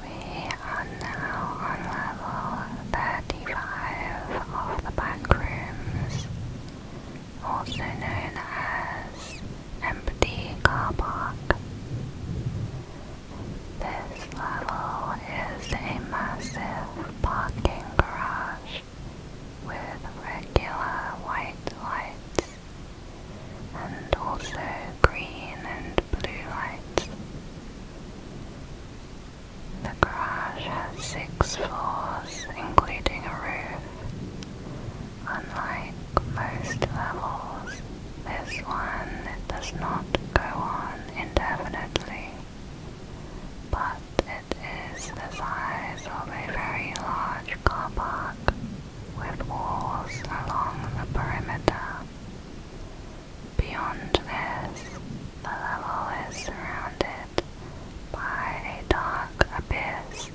We are now on level 35 of the back rooms, also known as empty car park. This level is a massive parking garage with regular white lights and also green and blue lights. The garage has six floors, including a roof. Unlike most levels, this one does not go on indefinitely, but it is the size of a very large car park with walls along the perimeter. Beyond this, the level is surrounded by a dark abyss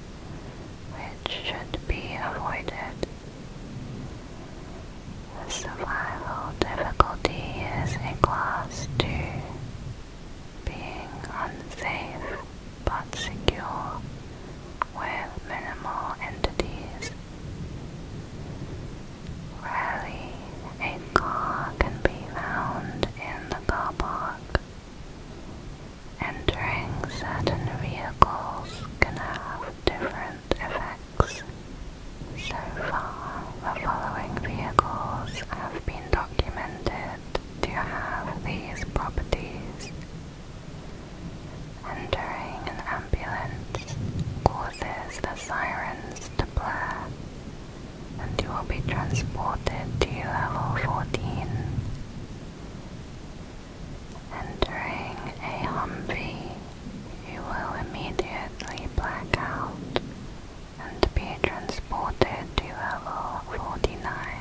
which should be avoided. The survival difficulty is a class 2, being unsafe but secure with minimal entities Rarely a car can be found in the car park. Entering certain vehicles can have different effects. So far, the following vehicles have been documented to have these properties. Entering an ambulance causes the sirens to blare, and you will be transported to level 14. Entering a Humvee, you will immediately black out and be transported to level 49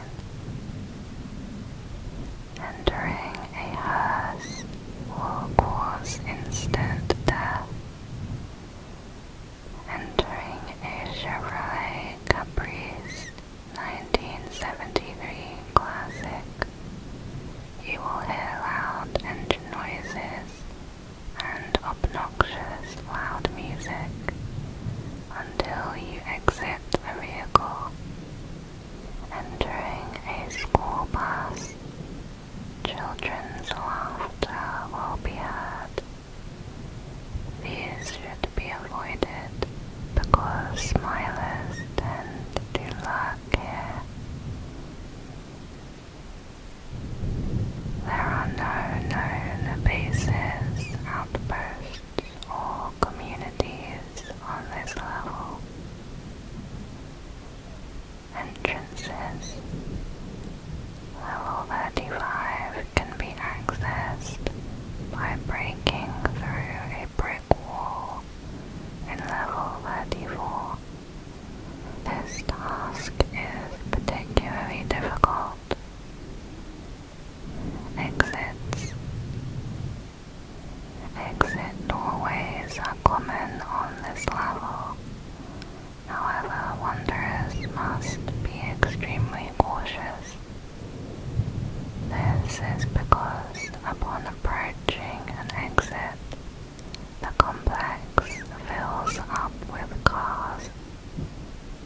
entering a hearse will cause instant death. Entering a Chevrolet Caprice 1973 Classic, you will hear loud engine noises and obnoxious loud music until you exit the vehicle entering a school bus. Children's laughter will be heard. These should be avoided because smilers tend to lurk here. There are no known bases, outposts, or communities on this level entrances. Level 35 can be accessed by breaking through a brick wall in level 34. This task is particularly difficult. Exits Exit doorways are common on this level. However, wanderers must be extremely cautious. This is because upon approaching an exit, the complex fills up with cars.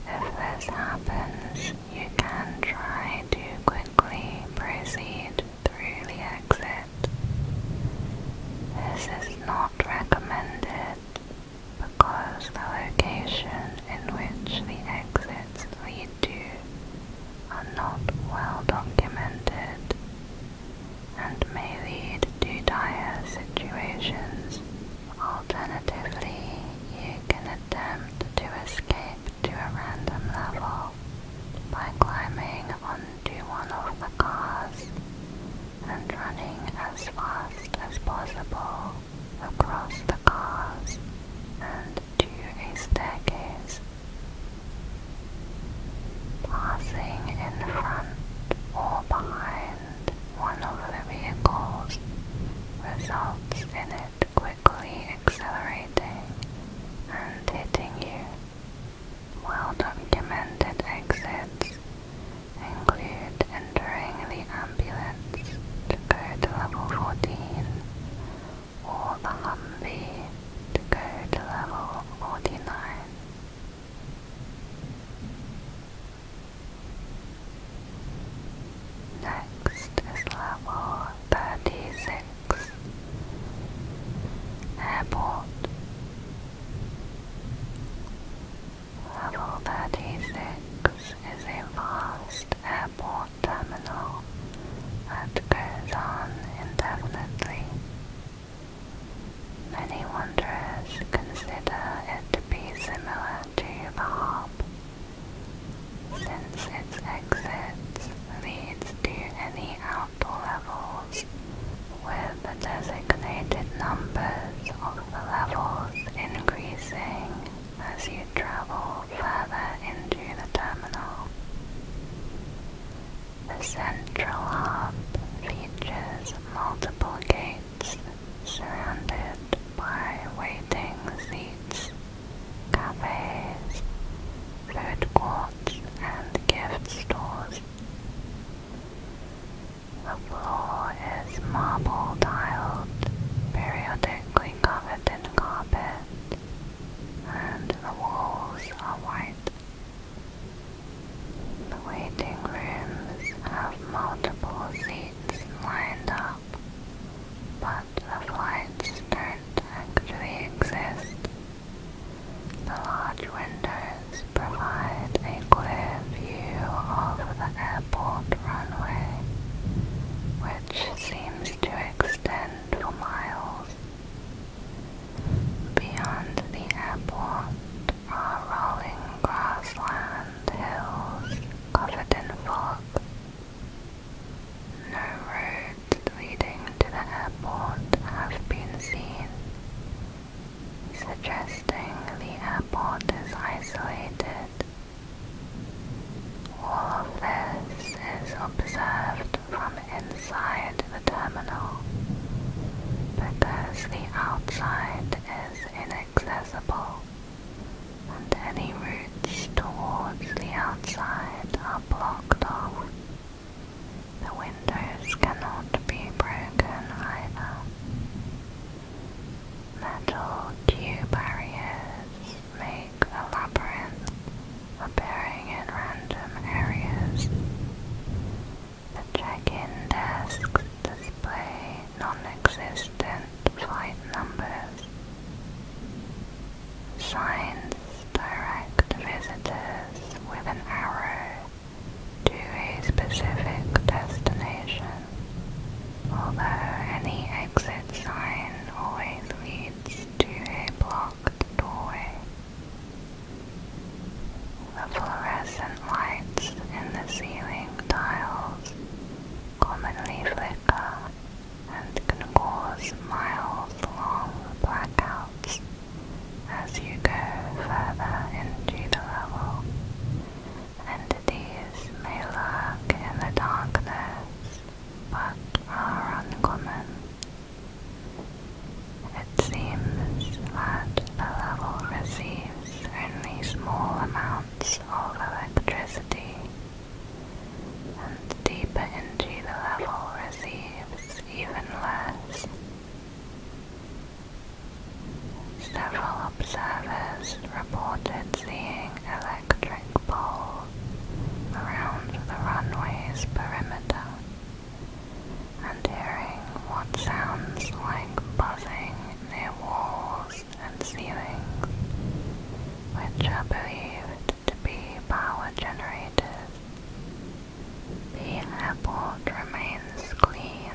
If this happens, you can try to quickly proceed through the exit. This is not recommended because the location in which the exits lead to are not well documented and may lead to dire situations. Alternatively, you can attempt to escape to a random level by climbing on to one of the cars and running as fast as possible across the cars and to a staircase, passing in front or behind one of the vehicles results in it quickly accelerating and hitting you well-documented exits include entering the ambulance to go to level 14 or the Humvee to go to level 49. Next is level 36. Airport Level 36 is a vast airport terminal that goes on indefinitely. Many wanderers consider it to be similar to the harp, since its exits leads to any levels with designated numbers of the levels increasing as you travel further into the terminal. The central hub features multiple gates surrounded by waiting seats, cafes, food courts, and gift stores. The floor is marble tiled, periodically covered in carpet, and the walls are white. The waiting rooms have multiple seats lined up, but the flights don't actually exist. The large windows provide a clear view of the airport runway, which seems to extend for miles. Beyond the airport are rolling grassland hills covered in fog. No leading to the airport have been seen, suggesting the airport is isolated. All of this is observed from inside the terminal because the outside is inaccessible and any routes towards the outside are blocked off. The windows cannot be broken either. Metal tube barriers make a labyrinth appearing in random areas. The check-in desks display non-existent flight numbers. Signs direct visitors with an arrow to a specific destination, although any exit sign always leads to a blocked doorway. The fluorescent lights in the ceiling tiles commonly flicker and can cause miles-long blackouts as you go further into the level, entities may lurk in the darkness but are uncommon. It seems that the level receives only small amounts of electricity, and deeper into the level receives even less. Several observers reported seeing electric poles around the runway's perimeter and hearing what sounds like buzzing near walls and ceilings, which are believed to be power generators the airport remains clean,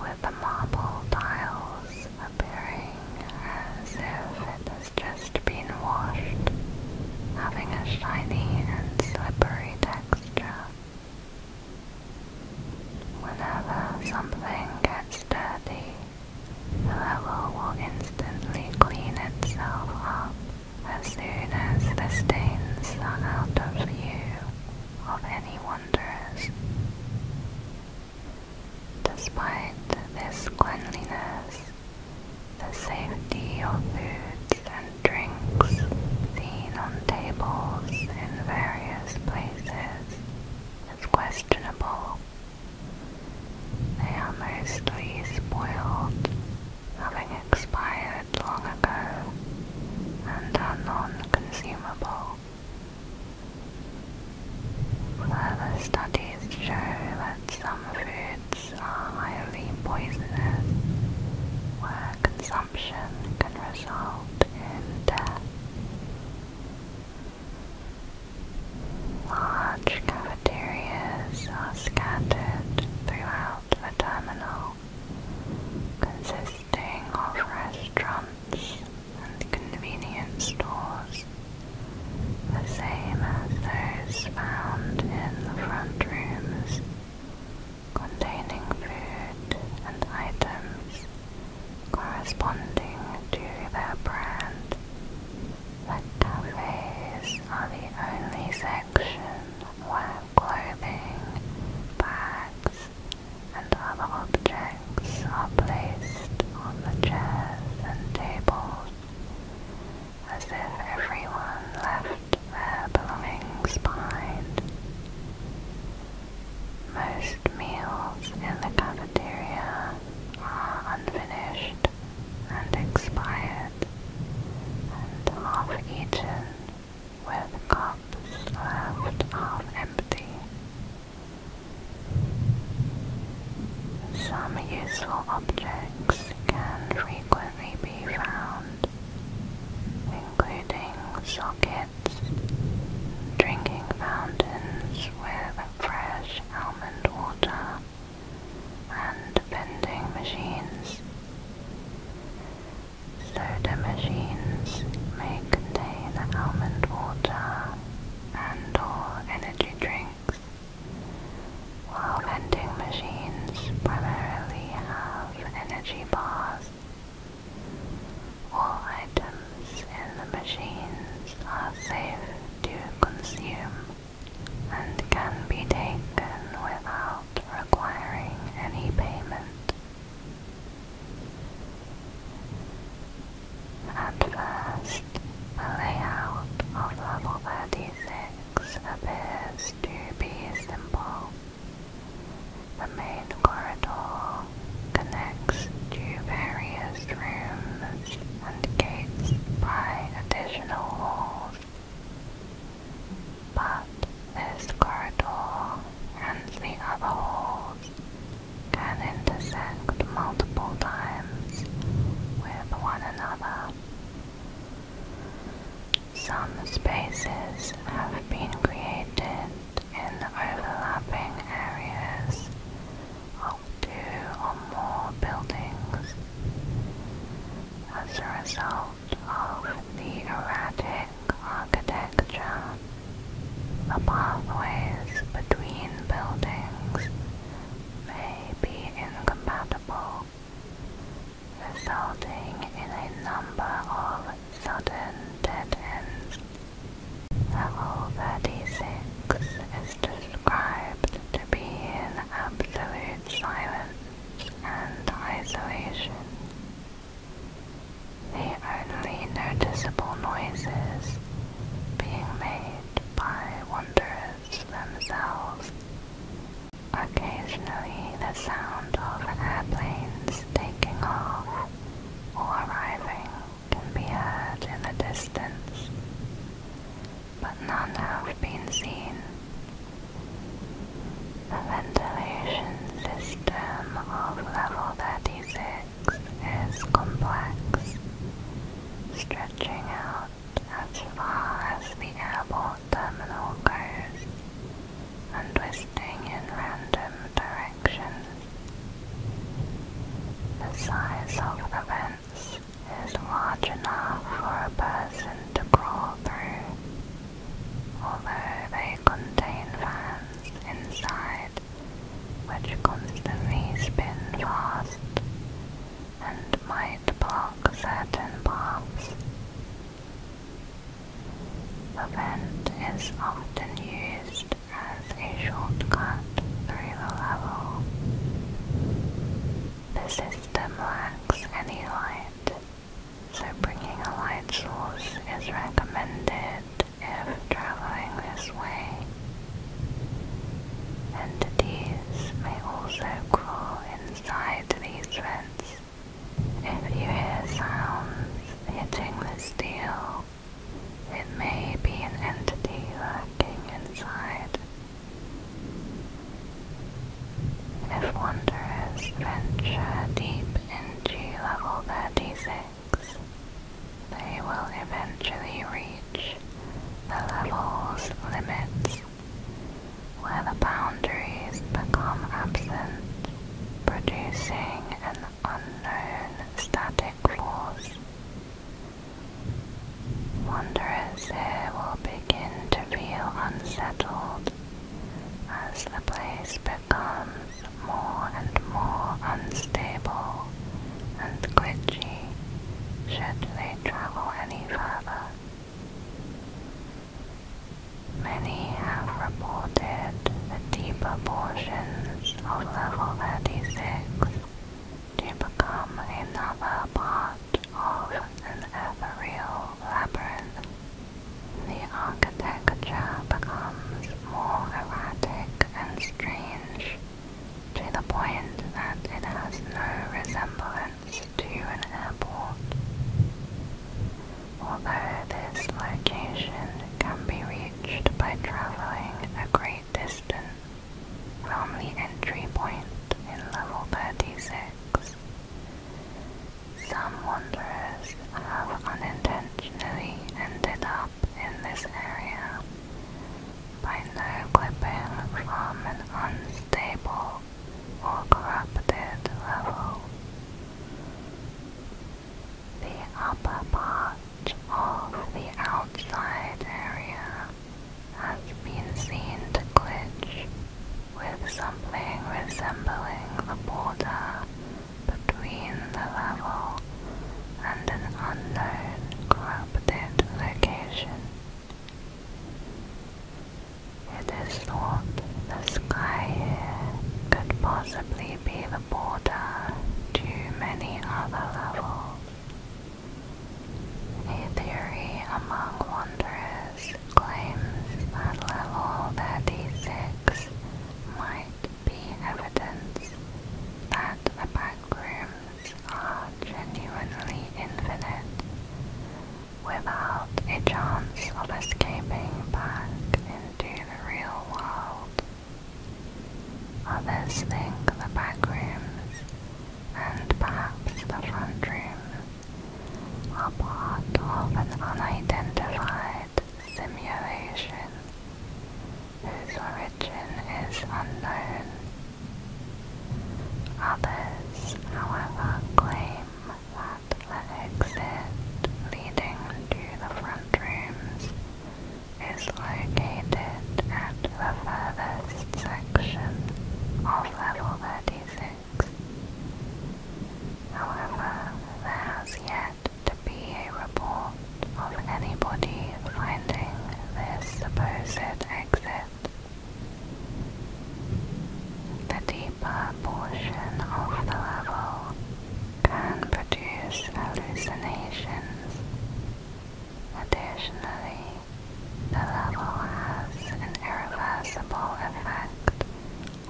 with the marble tiles appearing as if it has just been washed, having a shiny and slippery texture. Whenever something gets dirty, the level will instantly clean itself up as soon as the stains are out of view of any wanderers. Despite this cleanliness, the safety of foods and drinks seen on tables in various places is questionable. They are mostly spoiled having expired long ago and are non-consumable. Further studies show that some foods are highly poisonous, where consumption can result in death. Large cafeterias are scattered throughout of the terminal, consisting of restaurants and convenience stores, the same as those found in the front rooms, containing food and items corresponding to their brand. The cafes are the only section where clothing, bags, and other objects are placed on the chairs and tables, as if everyone left their belongings behind. Most meals in the cafeteria are unfinished and expired and half-eaten where the cups left half empty. Some useful objects can frequently be found, including sockets, drinking fountains with fresh almond water, and vending machines. Soda machines may contain almond water and or energy drinks, while vending machines primarily have energy bars. All items in the machines are safe to consume and can be taken without without requiring any payment. At first, the layout of level 36 appears to be simple. The main corridor connects to various rooms and gates by additional walls but this corridor and the other halls can intersect multiple times with one another. Some spaces have been created in overlapping areas of two or more buildings. As a result, of the erratic architecture. The pathways between buildings may be incompatible, resulting in a number of sudden dead ends. Level 36 is described to be in absolute silence and isolation. The only noticeable noises being made by wanderers themselves. Occasionally the sound of airplanes taking off or arriving can be heard in the distance, but none have been seen. The ventilation system of level 36 is complex, stretching out as far as the airport terminal goes and twisting in random directions. The size of the vents is large enough for a person to crawl through although they contain fans inside which constantly spin fast and might block certain paths. The vent is often used as a shortcut through the level. The system lacks any light so bringing a light source is recommended if traveling this way. Entities may also crawl inside these vents. If you hear sounds hitting the steel, it may be an entity lurking inside. If wanderers venture deep into level 36, they will eventually reach the level's limits, where the boundaries become absent, producing an unknown static force. Wanderers here will begin to feel unsettled as the place becomes more and more unstable and glitchy should they travel any further. Many have reported the deeper portions of level 36 to become another part of an ethereal labyrinth. The architecture becomes more erratic and strange to the point that it has no resemblance to an airport. Although this location can be reached by traveling a great distance from the entry point in level 36, some wanderers have unintentionally ended up in this area by no clipping from an unstable or corrupted level. The upper part of the outside area has been seen to glitch with something resembling the border between the level and an unknown corrupted location. It is thought the sky here could possibly be the border to many other levels. A theory among wanderers this claims that level 36 might be evidence that the backrooms are genuinely infinite, without a chance of escaping back into the real world. Others think the backrooms, and perhaps the front rooms, a part of an unidentified simulation whose origin is unknown. Others, however, claim that the exit leading to the front rooms is located at the furthest section of level 36. However, there has yet to be a report of anybody finding this supposed exit. The deeper portion of the level can produce hallucinations. Additionally, the level has an irreversible effect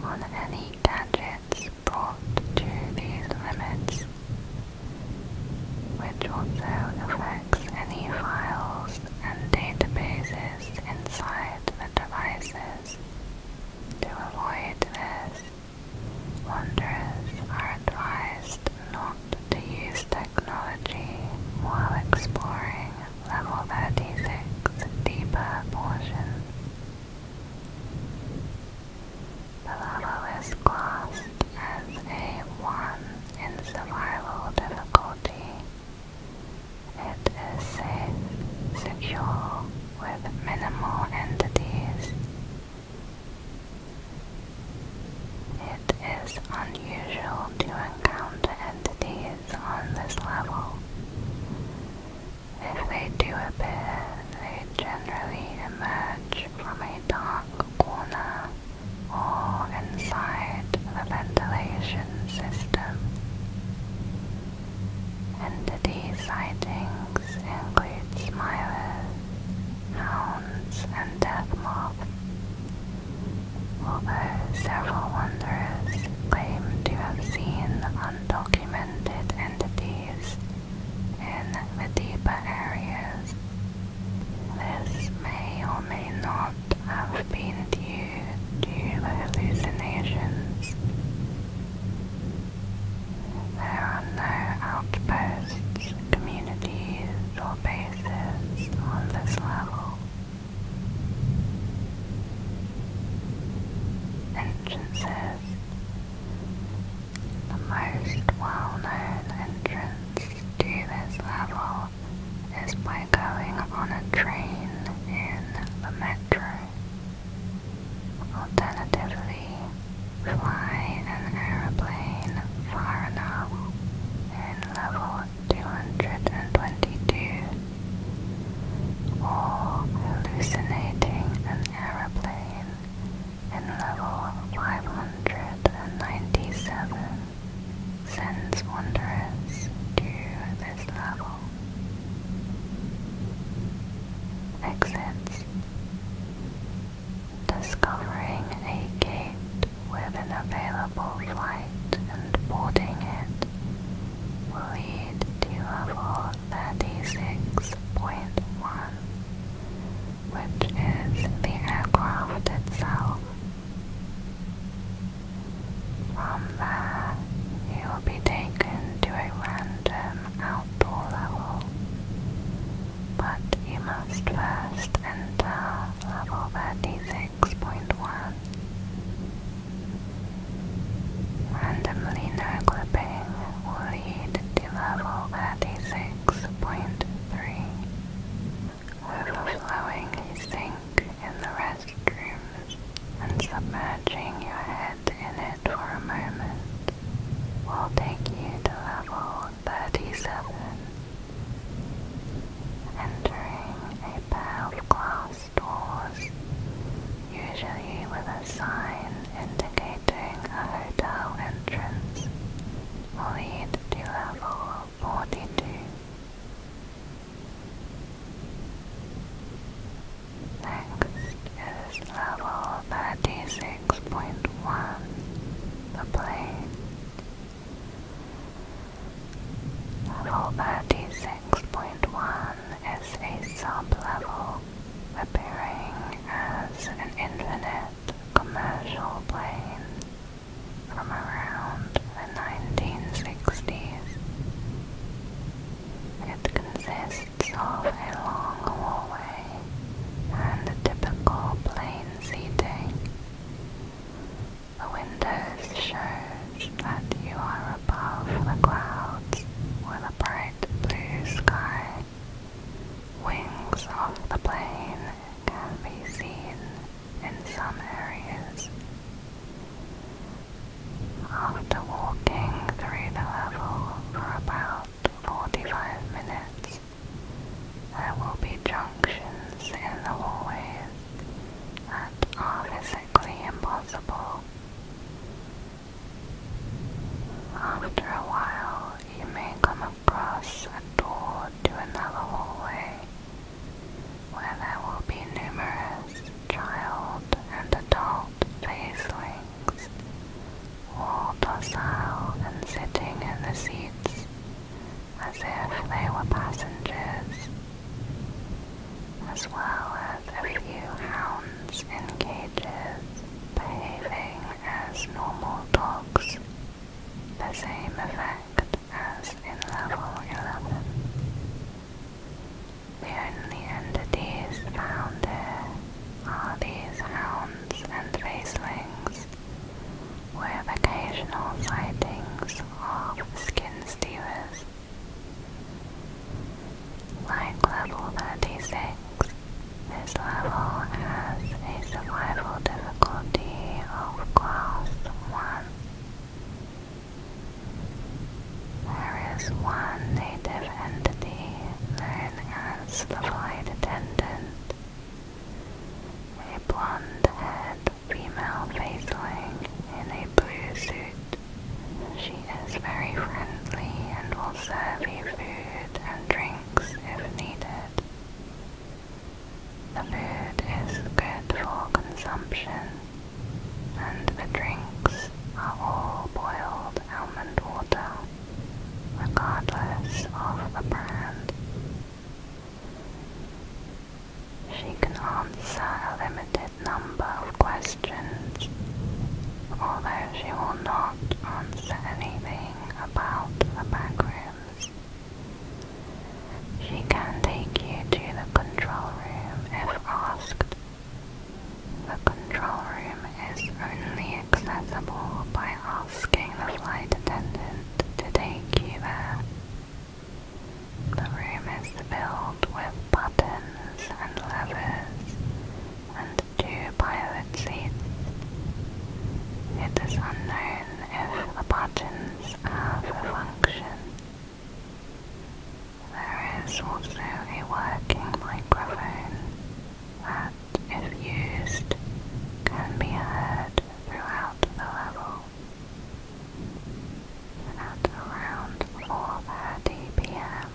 on any gadgets brought to these limits, which also affects any files and databases inside the devices. To avoid this, wanderers are advised not to use technology while exploring level 36's deeper portions. The lowest classed as a 1 in survival difficulty. It is safe, secure, with minimal entities. It is unusual to encounter entities on this level. If they do appear, they generally emerge from a dark corner or inside the ventilation system. Entity sightings include smilers, hounds, and death moths. Although several wanderers claim to have seen Documented entities in the deeper areas. This may or may not have been due to hallucinations. There are no outposts, communities, or bases on this level. Ancient the most well-known entrance to this level is by going on a train in the metro. Alternatively, fly an aeroplane far enough in level 222 or hallucinating an aeroplane in level 597 sends wanderers to this level. Exits Discovering a gate with an available flight and boarding it will lead to level 36.1, which is the aircraft itself. From there, you will be taken to a random outdoor level, but you must first enter level 36.1. Randomly no will lead to level 36.3. Overflowing a sink in the restrooms and submerging your head in it for a moment will take you to level 37. Entering a pair of glass stores, usually with a sign indicating a hotel entrance, lead to level 42. Next is level 36.1, the plane. Level 36.1 is a sub-level appearing as an infinite commercial plane from around the 1960s. It consists of a long hallway and typical plane seating. The windows show acknowledge that you are above the clouds with a bright blue sky. Wings of the plane can be seen in some areas. After walking through the level for about 45 minutes, there will be junctions in the hallways that are physically impossible. After a while, you may come across a door to another hallway where there will be numerous child and adult facelings, all docile and sitting in the seats as if they were passengers as well as a few hounds in cages behaving as normal dogs, the same effect as in level 11. The only entities found here are these hounds and facelings, with occasional sightings of skin stealers like level 36, this level has a survival difficulty of class 1. There is one native entity known as the flight attendant, a blonde-haired female faceling in a blue suit. She is very friendly and will serve you food and drinks if needed. The food is good for consumption, and the drinks are all boiled almond water, regardless of the brand. She can answer a limited limited number of questions, although she will not answer anything about the backrooms. She can take you to the control room if asked. The control room is only accessible by asking the flight attendant to take you there. The room is filled with buttons guns and levers, and two pilot seats. It is unknown if the buttons have a function. There is also a working microphone that, if used, can be heard throughout the level. And At around 4.30pm,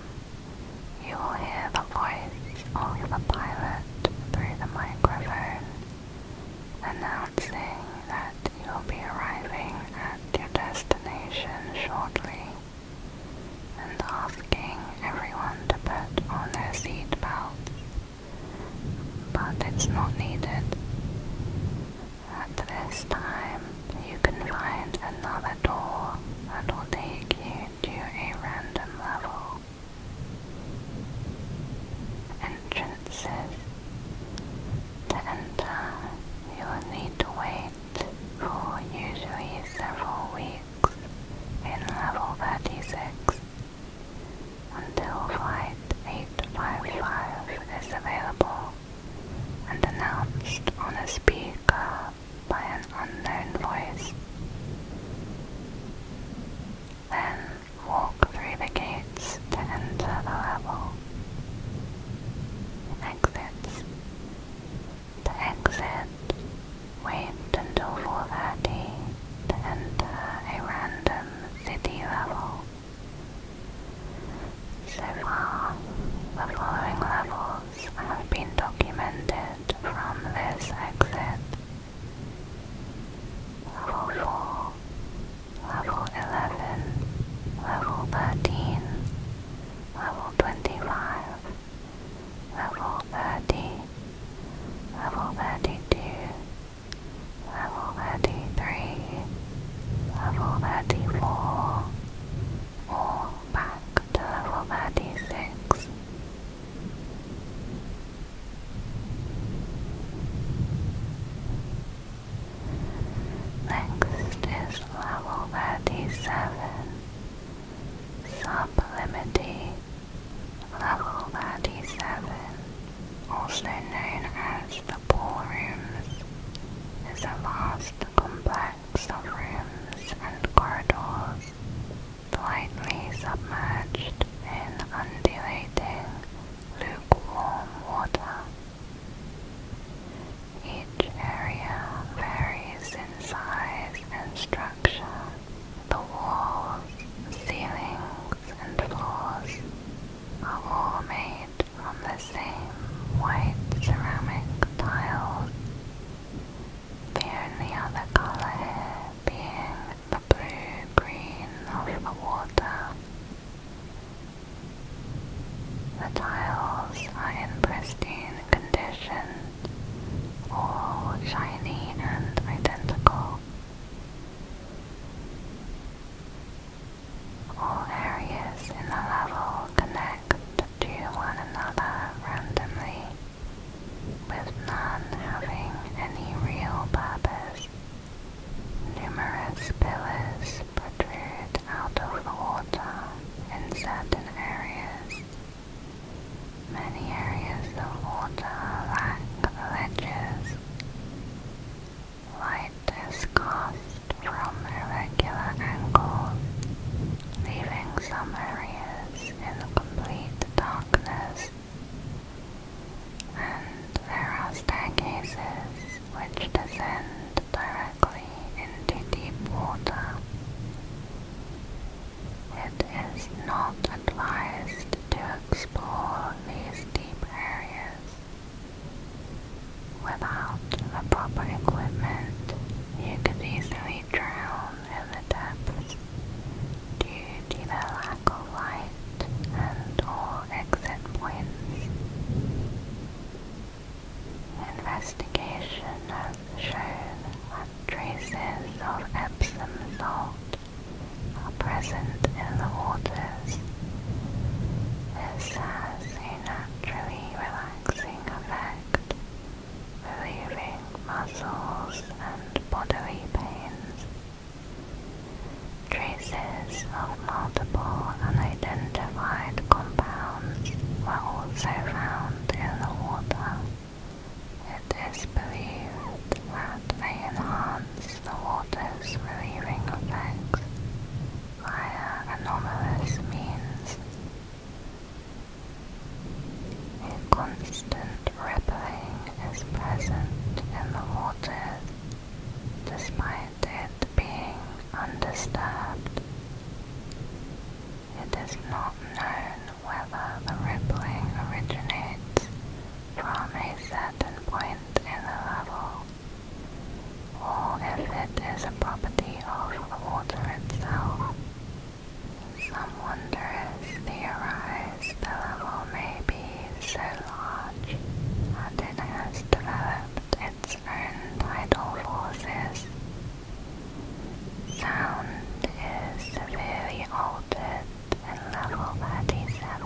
you will hear the voice of the pilot through the microphone announcing that you will be arriving at your destination shortly and asking everyone to put on their seat belts. But it's not needed. At this time, you can find another door that will take you to a random level. Entrances. To enter, you will need to wait for usually several weeks in level 36 until Flight 855 is available and announced on a speaker by an unknown voice. Then walk through the gates to enter the level. Exits. To exit, wait until 4.30 to enter a random city level. So far, the following level have been documented from this exit. Level 4, Level 11, Level 13, Level 25, Level 30, Level 32, Level 33, Level 34, or back to level 36. Next is level 37, sublimity. Level 37, also known as the ballrooms, is a vast complex of rooms and corridors slightly submerged in undulating, lukewarm water. Each area varies in size and structure. The walls, ceilings, and floors are all made from the same white ceramic tiles the only other colour being the blue-green of the water. The tiles are in pristine condition, all shiny and identical. All areas in the level connect to one another randomly, with none having any real purpose. Numerous pillars protrude out of the water in certain areas. Many areas of water lack ledges. Light is cast from irregular angles leaving some areas in complete darkness. And there are staircases which descend directly into deep water. It is not advised to explore these deep areas. Without the proper equipment, you could easily they drown in the depths due to the lack of light and all exit points. Investigation has shown that traces of Epsom salt are present in the waters. This has a naturally relaxing effect relieving muscles and bodily pains. Traces of multiple unidentified compounds were also found in the water. It is believed that they enhance the water's relieving effects via anomalous means. A constant rippling is present in the water, despite it being undisturbed. It is not known whether the rippling originates from a certain point in the level, or if it is a property of the water itself. Some wonders theorize the level may be so large that it has developed its own tidal forces. Sound is severely altered and level 37.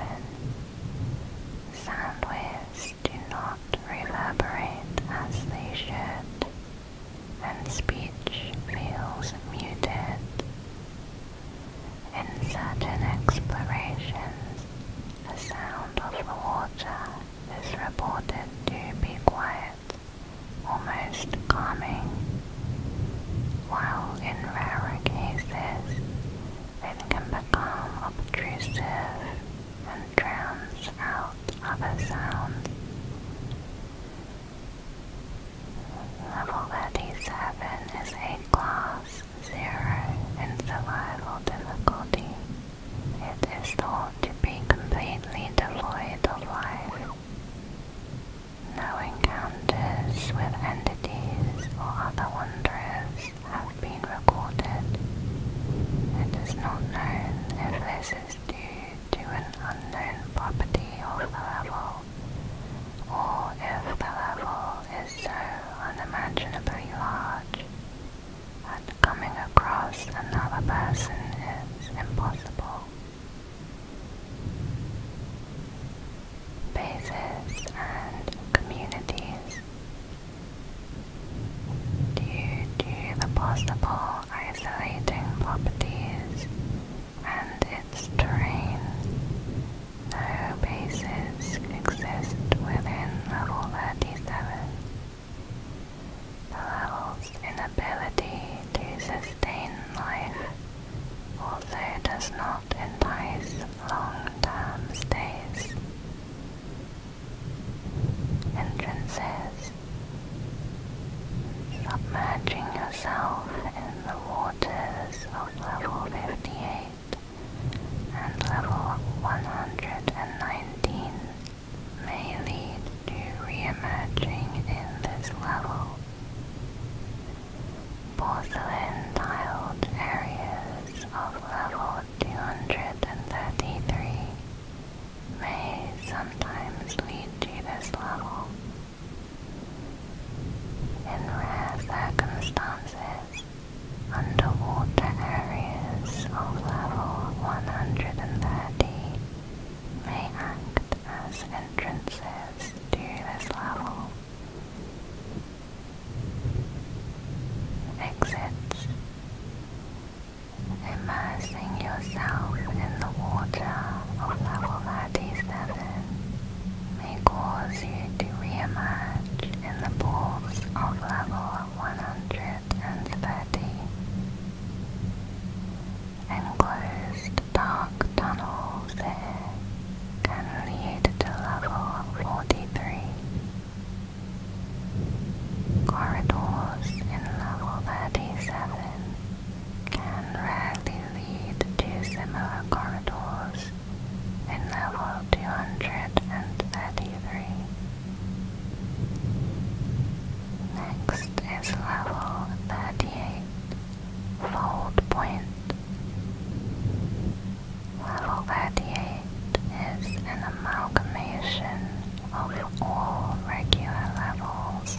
Sound waves do not reverberate as they should and speech feels muted. In certain explorations, the sound of the water is reported to be quiet, almost calming, while in rarer cases it can become obtrusive and drowns out other sounds. Level 37 is a class 0 in survival difficulty. It is thought to be completely devoid of life. No encounters with entities or other wanderers have been recorded. It is not known if this is due to an unknown property of the level, or if the level is so unimaginably large that coming across another person is impossible. Bases and communities. Due to the possible isolating properties and its terrain. No bases exist within level 37. The level's inability to sustain life also does not entice long-term stays. Entrances submerging yourself in the waters of level 58 and level 119 may lead to re-emerging in this level. Porcelain tiled areas of level 233 may sometimes lead to this level. In rare circumstances, underwater areas of level 130 may act as entrances to this level. Exits immersing yourself in the water of level 37 may cause you to re-emerge in the pools of level 130. Enclosed dark tunnels here can lead to level 43. Corridors in level 37 can rarely lead to similar corridors in level 233. Next is level 38, Fold Point. Level 38 is an amalgamation of oh, all regular levels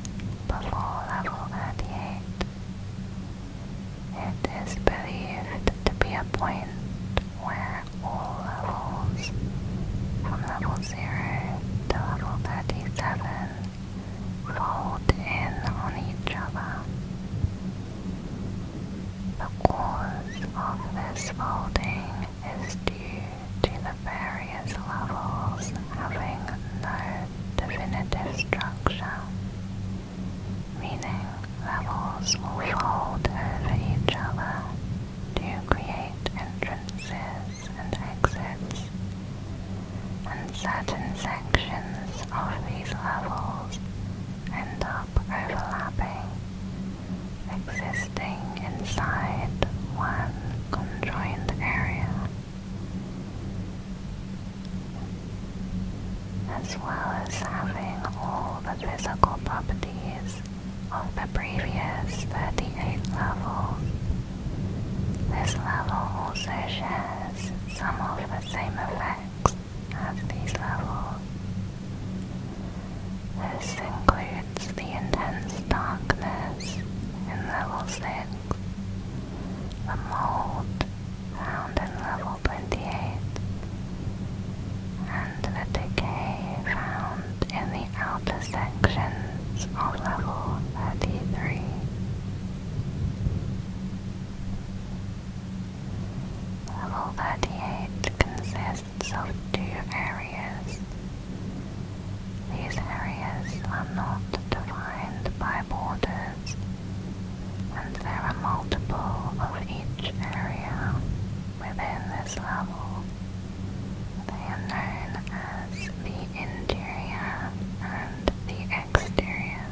before level 38. It is believed to be a point where all levels, from level 0 to level 37, fold in on each other. The cause of this folding is due to the various levels having no definitive structure, meaning levels will fold over each other to create entrances and exits, and certain sections of these levels end up overlapping, existing inside one conjoined area, as well as having all the physical properties of the previous 38 levels. This level also shares some of the same effects as these levels. This includes the intense darkness in level 6. The mold found in level 28. And the decay found in the outer sections of level 33. Level 38 consists of two areas these areas are not defined by borders, and there are multiple of each area within this level. They are known as the interior and the exterior.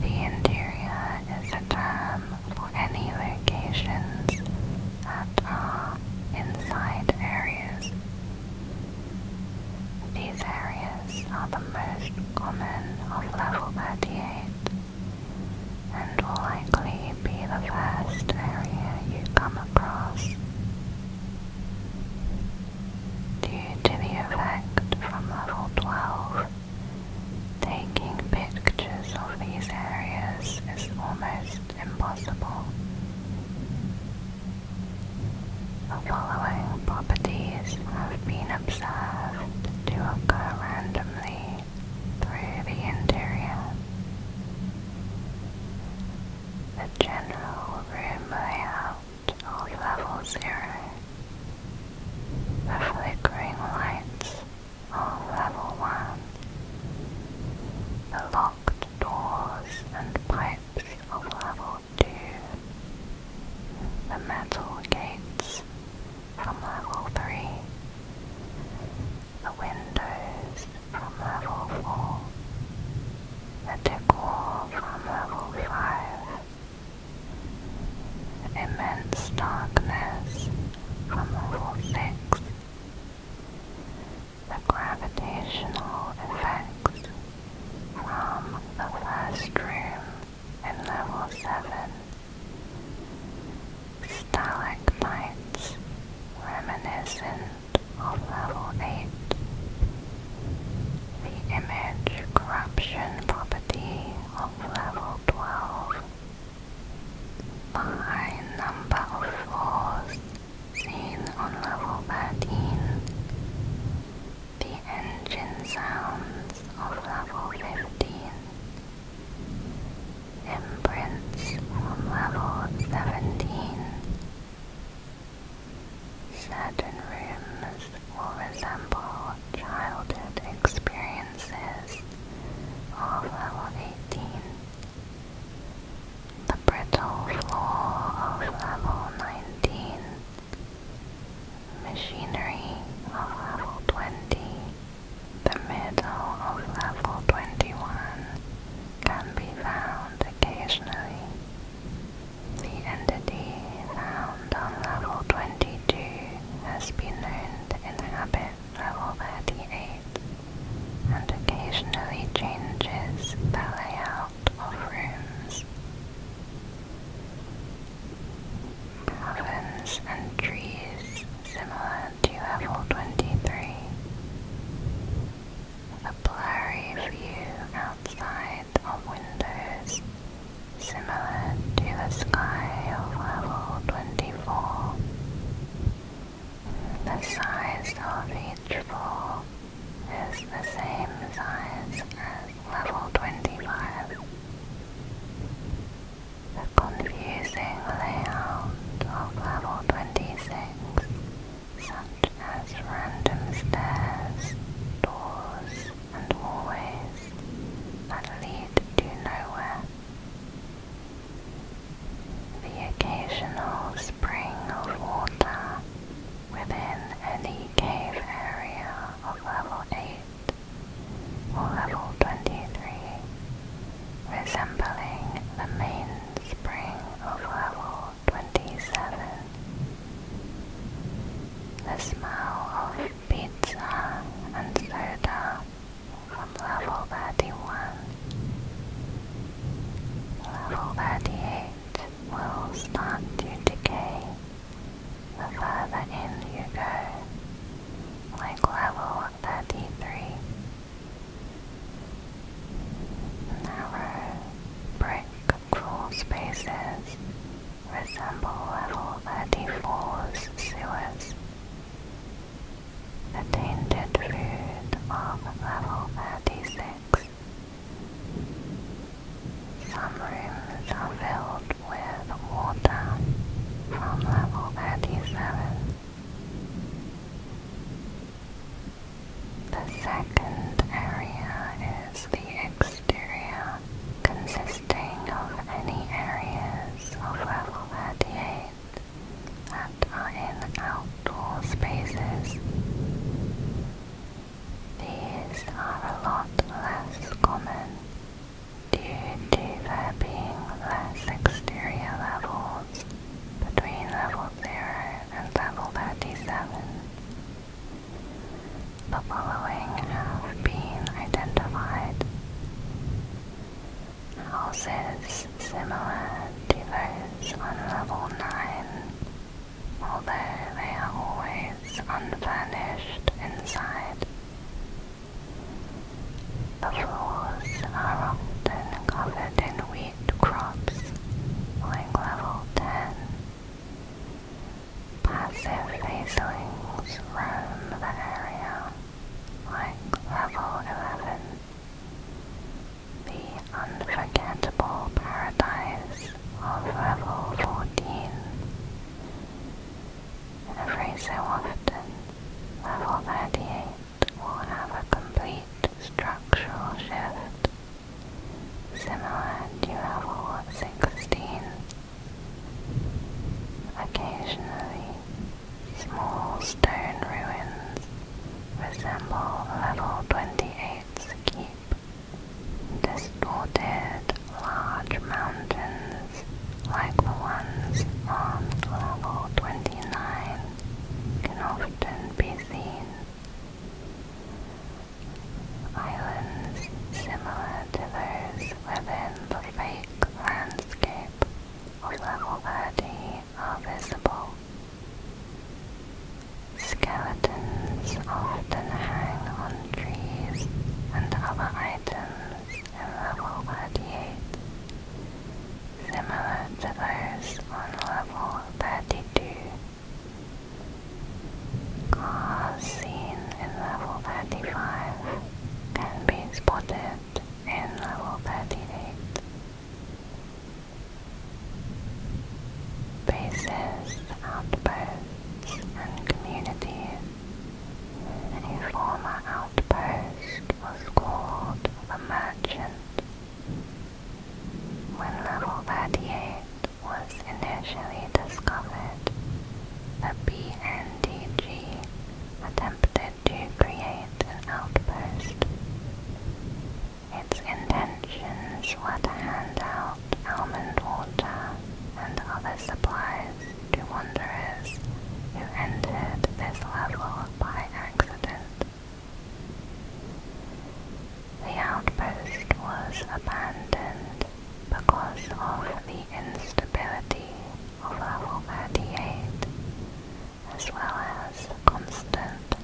The interior is a term for any locations that are um, inside areas. These areas are the most common of level 38 and will likely be the first area you come across. Due to the effect from level 12, taking pictures of these areas is almost impossible. The following properties have been observed to occur randomly through the interior. The general room layout of level zero. The flickering lights on level one. The locked doors and pipes of level two. The metal gates from level three. The windows from level four. The decor from level five. Immense darkness from level six the gravitational effects from the first room in level 7. Stalactites reminiscent of level 8. The image corruption property of level 12 the high number of floors seen on level 13. The engine sounds of level 15. Imprints from level 17. Certain rooms will resemble childhood experiences of level 18 the brittle floor of level 19, machinery of level 20, the middle of level 21 can be found occasionally. The entity found on level 22 has been known to inhabit Rule 38 and occasionally changes the layout of rooms. Caverns and trees similar to level 23. The blurry view outside of windows similar to the sky of level 24. The size of each ball is the same size as level 25. The confusing layout of level 26, such as random stairs, doors, and hallways that lead to nowhere, the occasional spring of water within any cave area of level 8 or level 23 resembling the main spring of level 27. The smell of pizza and soda from level 31. Level 38 will start to decay the further in you go, like level 33. Narrow brick floor spaces resemble level 34's sewers a tainted food of level 36. Some rooms are filled with water from level 37. The second area is the exterior, consisting of any areas of level 38 that are in outdoor spaces. These are a lot less common due to there being less exterior levels between level 0 and level 37. The following have been identified. Houses similar to those on level 9, although they are always unvarnished inside. The floors are often covered in wheat crops, like level 10. Passive facelings roam the area, like level 11. The Unforgettable Paradise of Level 14. Every so often, Level 38 will have a complete structural shift, similar to Level 16. Occasionally, Small stone ruins resemble level 28's keep. Distorted large mountains like the ones on level 29 can often be seen. Islands similar to those within the fake landscape of level 30 are visible. Skeletons often hang on trees and other items in level 38, similar to those on level 32. Cars seen in level 35 can be spotted in level 38 bases, outposts, and communities. A former outpost was called the Merchant. When level 38 was initially discovered, the BNDG attempted to create an outpost. Its intentions were to hand out almond water and other supplies to wanderers who entered this level by accident. The outpost was abandoned because of the instability of level 38 as well as constant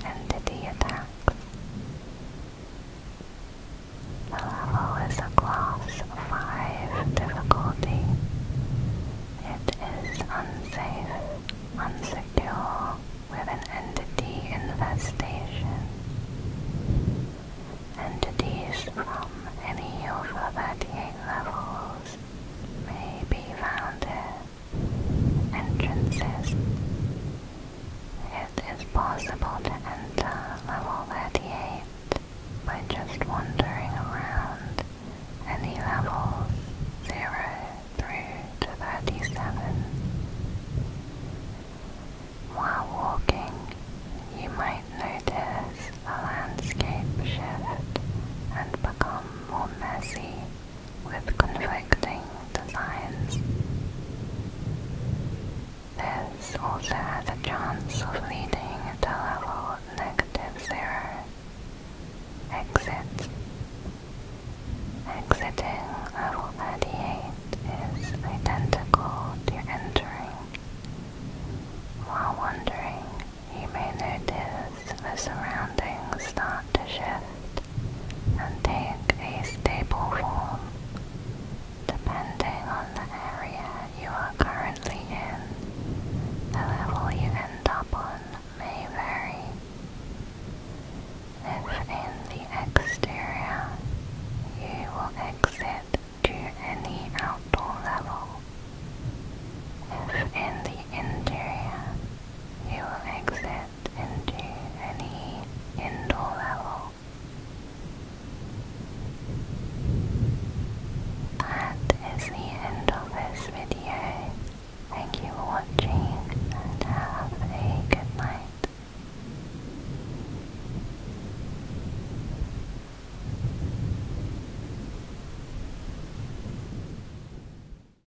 entity attacks. The level is a class 5 difficulty. It is unsafe, unsecure, with an entity infestation. Entities from any of the 38 levels may be found here entrances. It is possible to enter level 38 by just wandering around any levels 0 through to 37. While walking, you might notice the landscape shift and become more messy with conflicting designs. This also has a chance of leading to level negative zero. Exit. Exiting level 38 is identical to entering. While wandering, you may notice the surroundings start to shift and take a stable form, depending on the area you are currently in, the level you end up on may vary. If in the exterior, you will exit to any outdoor level. If in the interior, you will exit into any indoor level. That is the end of this video. Thank you for watching and have a good night.